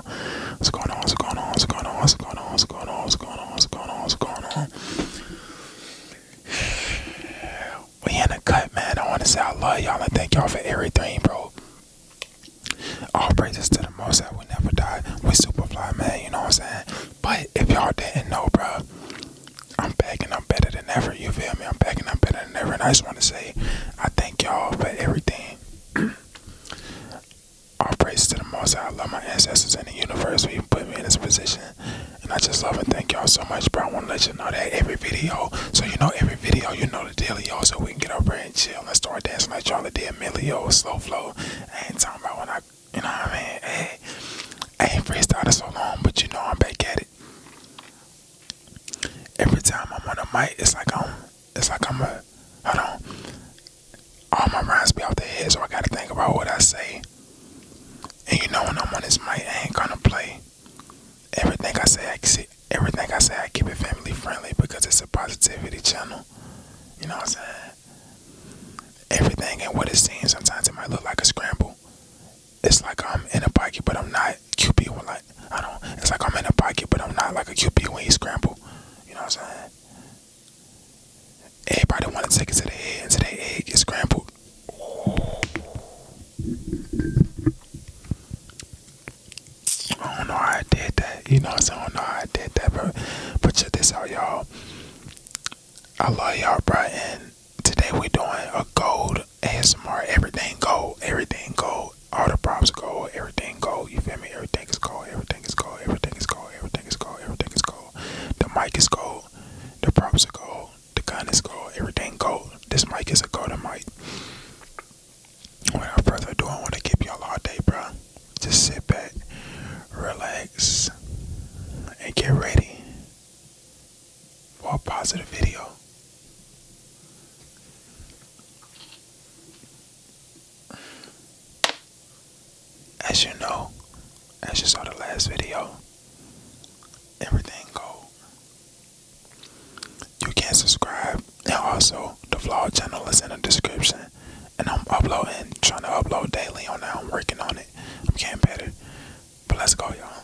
on? What's going on? What's going on? What's going on? What's going on? What's going on? What's going on? What's going on? What's going on? We in the cut, man. I want to say I love y'all and thank y'all for everything, bro. All praises to the most that will never die. We superfly, man. You know what I'm saying? But if y'all didn't know, bro, I'm back and I'm better than ever. You feel me? I'm back and I'm better than ever. And I just want to say I thank y'all for everything. All praise to the Most I love my ancestors and the universe who put me in this position. And I just love and thank y'all so much, bro. I want to let you know that every video, so you know every video, you know the deal, y'all. So we can get over and chill Let's start dancing like Charlie did, Millie, slow flow. ain't talking about when I, you know what I mean? Hey, I ain't freestyled so long, but you know I'm back at it. Every time I'm on the mic, it's like I'm it's like I'm a do not All my rhymes be off the head, so I gotta think about what I say. And you know when I'm on this mic, I ain't gonna play. Everything I say, I see, everything I say, I keep it family friendly because it's a positivity channel. You know what I'm saying? Everything and what it seems, sometimes it might look like a scramble. It's like I'm in a pocket, but I'm not QB. like I don't, it's like I'm in a pocket, but I'm not like a QB when he scramble. You know what I'm saying? Everybody want to take it to the head, and to the head get scrambled. Oh. I don't know how I did that. You know what I'm saying? I don't know how I did that, but But check this out, y'all. I love y'all, bro. And today we're doing a gold ASMR. Everything gold. Everything gold. All the props are gold. Everything gold. You feel me? Everything is gold. Everything is gold. Everything is gold. Everything is gold. Everything is gold. The mic is gold. The props are gold. The gun is gold. Everything gold. This mic is a gold mic. Without further ado, I want to keep y'all all day, bro. Just sit back, relax, and get ready for a positive video. As you know, as you saw the last video, everything gold. You can subscribe, and also the vlog channel is in the description. And I'm uploading, trying to upload daily on that. I'm working on it. I'm getting better. But let's go, y'all.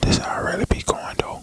This I'd already be going though.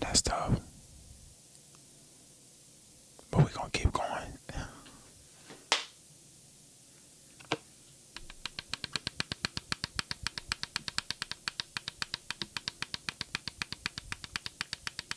That's tough. But we're going to keep going.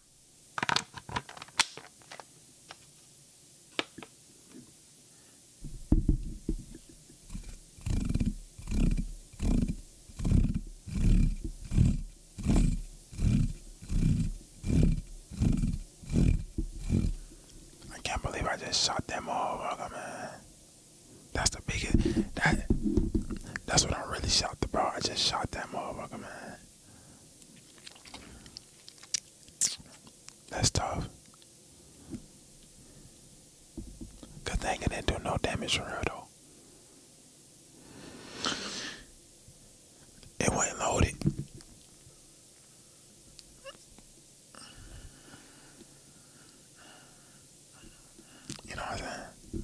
I can't believe I just shot them all, man. That's the biggest. That, that's what I really shot the bro. I just shot that motherfucker, man. That's tough. Good thing it didn't do no damage to her though. It wasn't loaded. You know what I'm saying?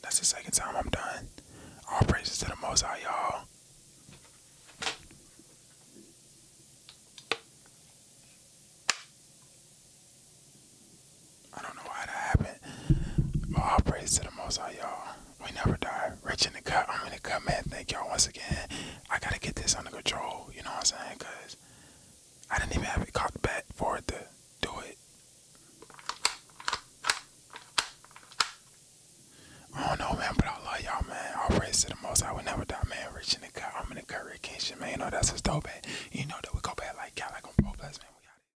That's the second time I'm done. All praises to the Most High, y'all. I don't know why that happened. i all praise to the Most High, y'all. We never die. Rich in the cut. I'm in the cut, man. Thank y'all once again. I gotta get this under control. You know what I'm saying? Cause I didn't even have it caught back for it to do it. I don't know, man, but I love y'all, man. I'll praise to the Most High. We never die, man. Rich in the cut. I'm in the cut. Rich Kingship, man. You know that's a dope, man. You know that we go back like you like on Pro Plus, man. We got it.